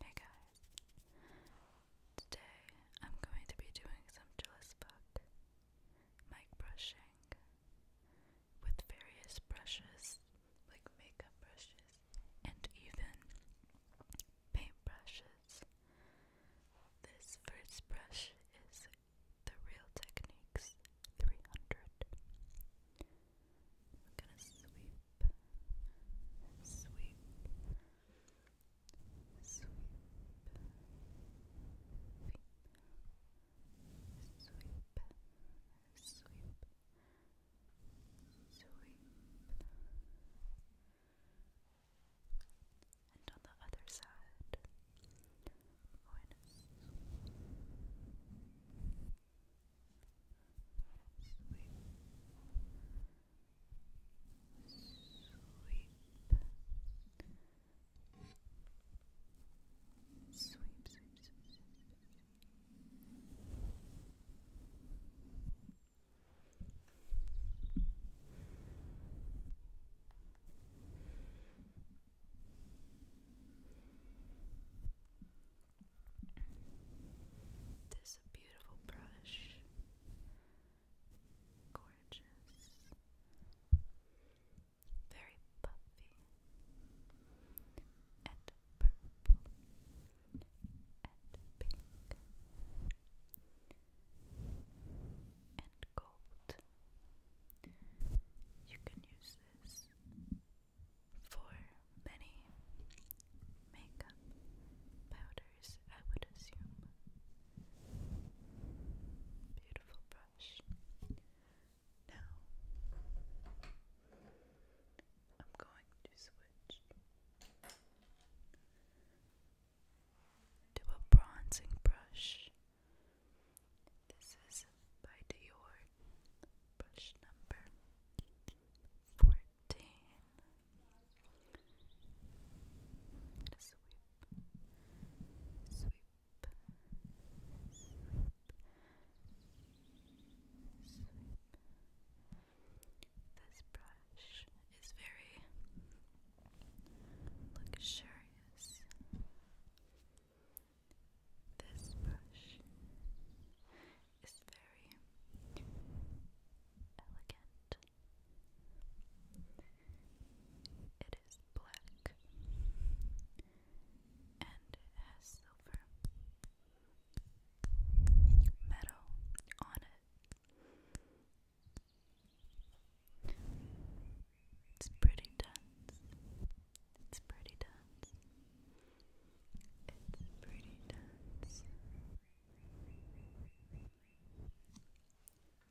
Hey guys, today I'm going to be doing some jealous book mic brushing with various brushes like makeup brushes and even paint This first brush is the Real Techniques 300. I'm gonna sweep, sweep, sweep, sweep, sweep, sweep, and on the other side, sweep, sweep, sweep, sweep, sweep, sweep. This is a beautiful brush. Gorgeous. Very puffy. And purple. And pink. And gold. You can use this for many makeup powders, I would assume. Beautiful brush. Now, I'm going to switch to a bronzing brush. This is by Dior, brush number fourteen. Sweep, sweep, This brush is very luxurious. This brush it is very elegant. It is black and has silver metal on it. It's pretty dense. It's pretty dense. It's pretty dense.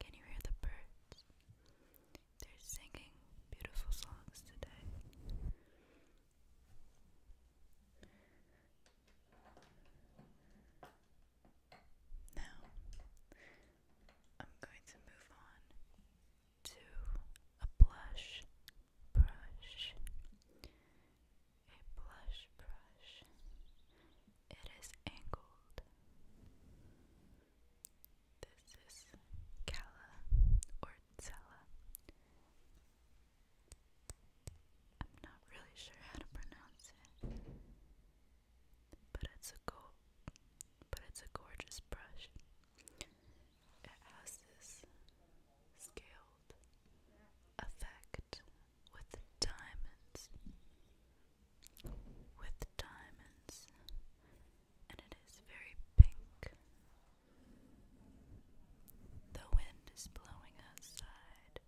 Can you hear the birds? They're singing beautiful songs today. Now, I'm going to move on to a blush brush, a blush brush. It is angled. This is Calla or Zella. I'm not really sure how to pronounce it, but it's a go but it's a gorgeous brush it has this scaled effect with diamonds, with diamonds, and it is very pink. The wind is blowing outside.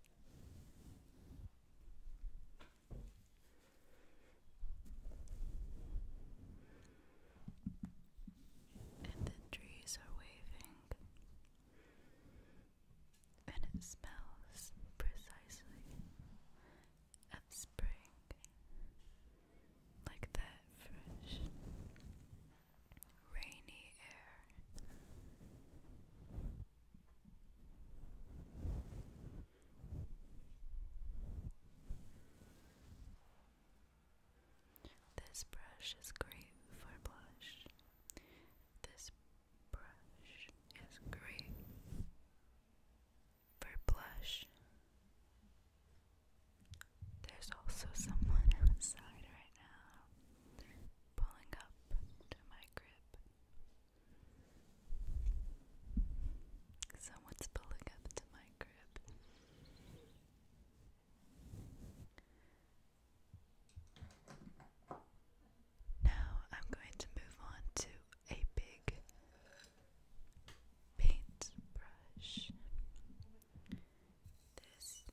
And the trees are waving and it smells precisely of spring, like that fresh, rainy air. This brush is great for blush. This brush is great for blush. There's also someone outside right now pulling up to my crib. Someone's pulling up to my crib. Now I'm going to move on to a big paintbrush. This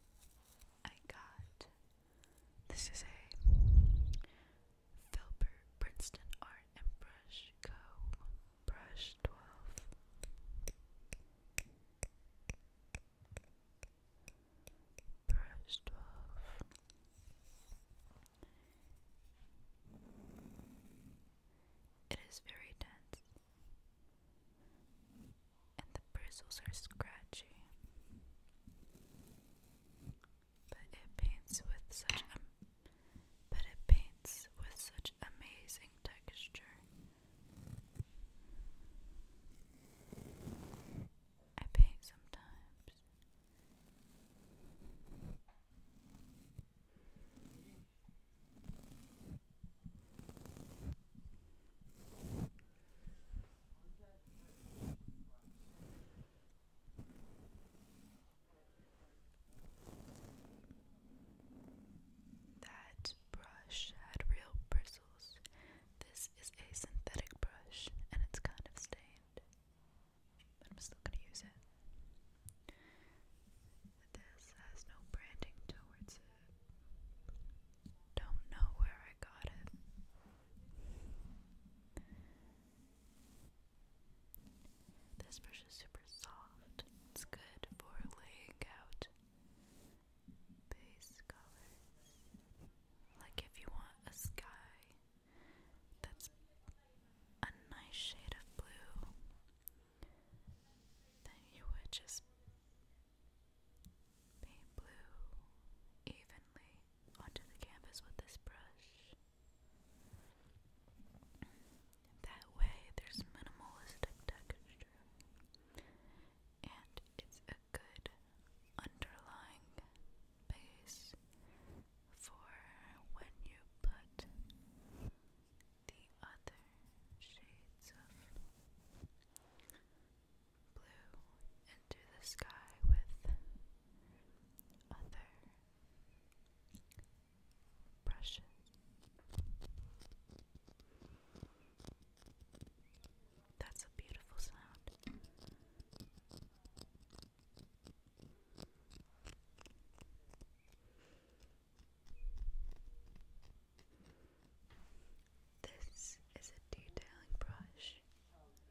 I got. This is a Filbert Princeton Art and Brush Co. Brush 12. It is very dense, and the bristles are scratchy, but it paints with such a but it paints with such amazing texture. I paint sometimes. That brush had real bristles. This is a synthetic brush and it's kind of stained. But I'm still gonna use it. This has no branding towards it. Don't know where I got it. This brush is super soft. It's good for laying out base colors. Like if you want a sky that's a nice shade of blue, then you would just paint blue evenly onto the canvas with this brush. That way, there's minimalistic texture texture. And it's a good underlying base for when you put the other shades of blue into the sky with other brushes. That's a beautiful sound. This is a detailing brush. Soft,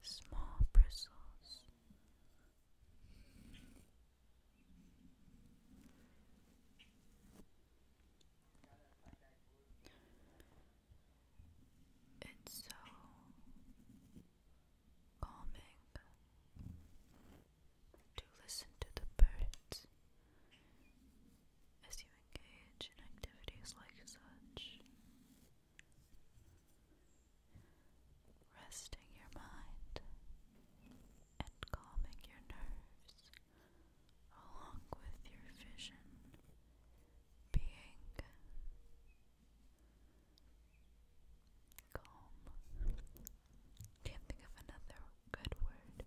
small bristles. It's so calming to listen to the birds as you engage in activities like such resting your mind and calming your nerves along with your vision being calm. Can't think of another good word.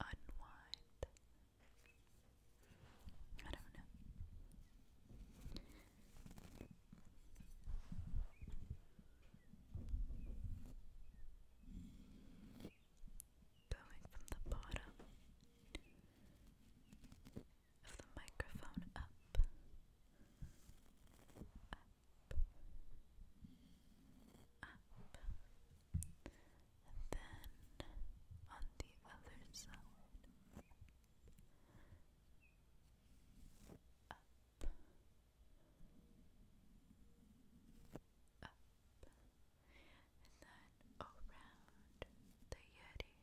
Unwind. I don't know. Going from the bottom of the microphone up, up, up, and then on the other side, up, up, and then around the Yeti.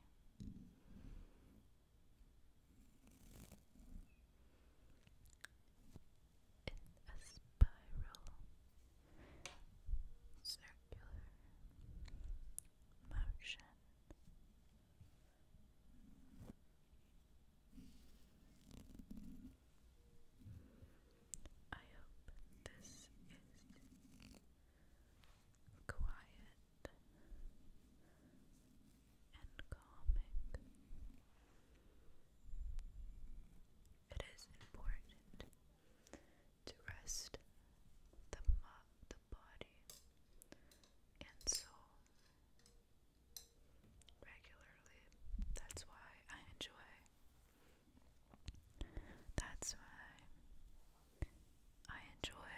In a spiral, circular motion. I hope this is quiet and calming. It is important to rest the, the body and soul regularly. That's why I enjoy. That's why I enjoy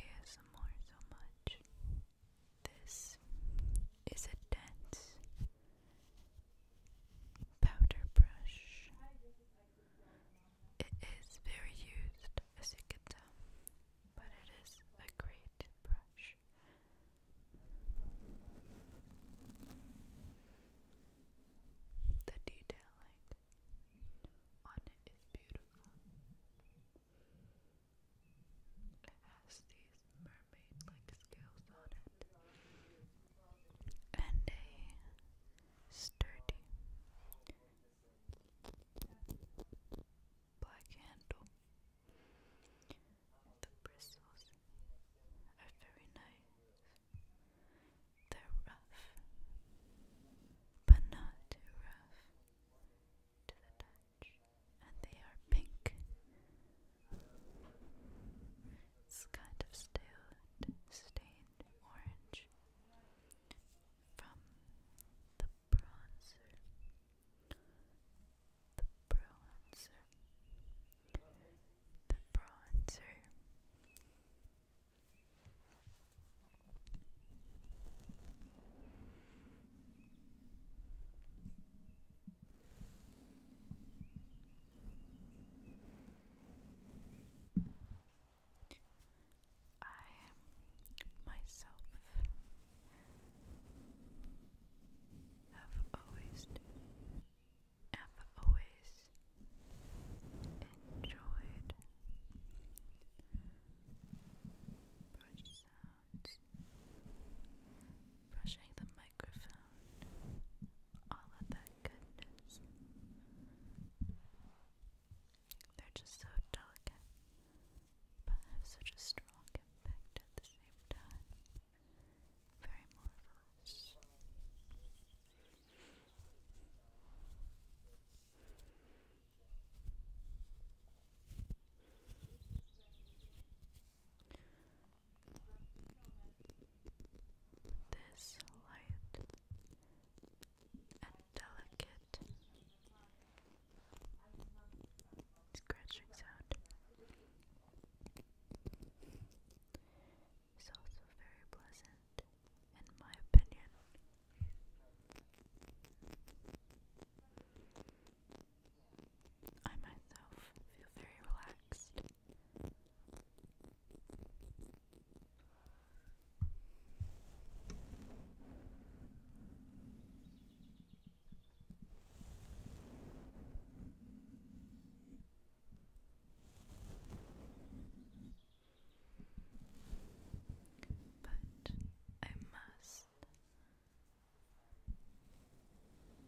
ASMR so much. This is a dense powder brush. It is very used, as you can tell, but it is a great the detailing on it is beautiful. It has these mermaid like scales on it and a sturdy black handle. The bristles are very nice. They're rough, but not too rough to the touch, and they are pink. It's kind of and stained orange from the bronzer the bronzer, the bronzer. I myself have always have always enjoyed brushing the microphone all of that goodness they're just so delicate, but have such a strong impact at the same time. Very marvelous. This light and delicate scratching sound. It's also very pleasant, in my opinion. I myself feel very relaxed. But I must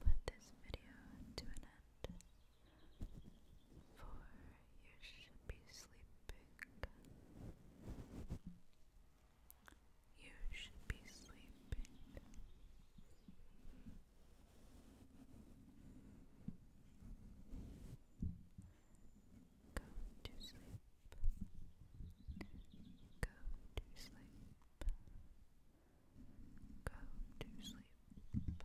put this video to an end, for you should be sleeping. You should be sleeping. Go to sleep. Go to sleep. Go to sleep.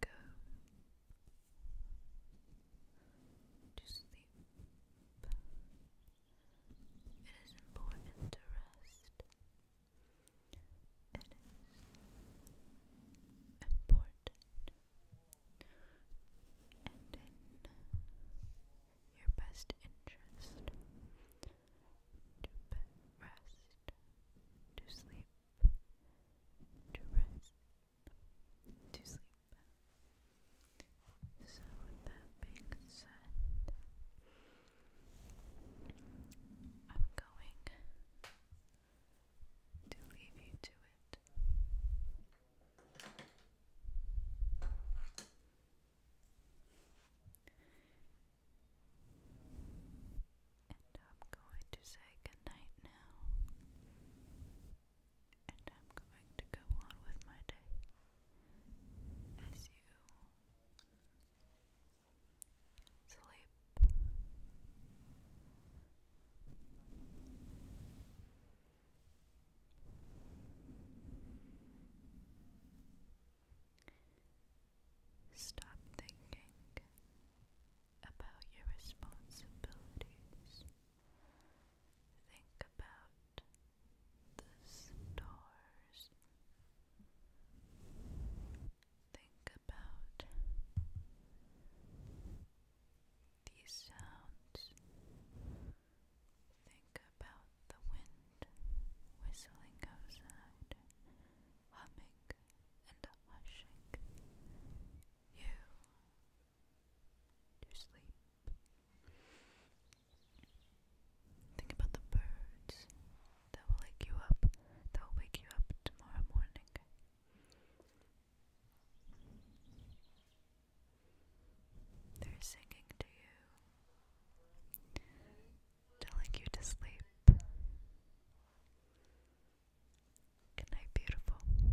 Go to sleep. It is important to rest. It is important. your best interest to rest, to sleep, to rest to sleep. So, with that being said, I'm going to leave you to it. And I'm going to say goodnight now and I'm going to go on with my day as you sleep. Stop thinking about your responsibilities Think about the stars. Think about these sounds. Think about the wind whistling outside, humming and hushing. You to sleep. Think about the birds that will wake you up, that will wake you up tomorrow morning. They're singing to you, telling you to sleep. Good night, beautiful.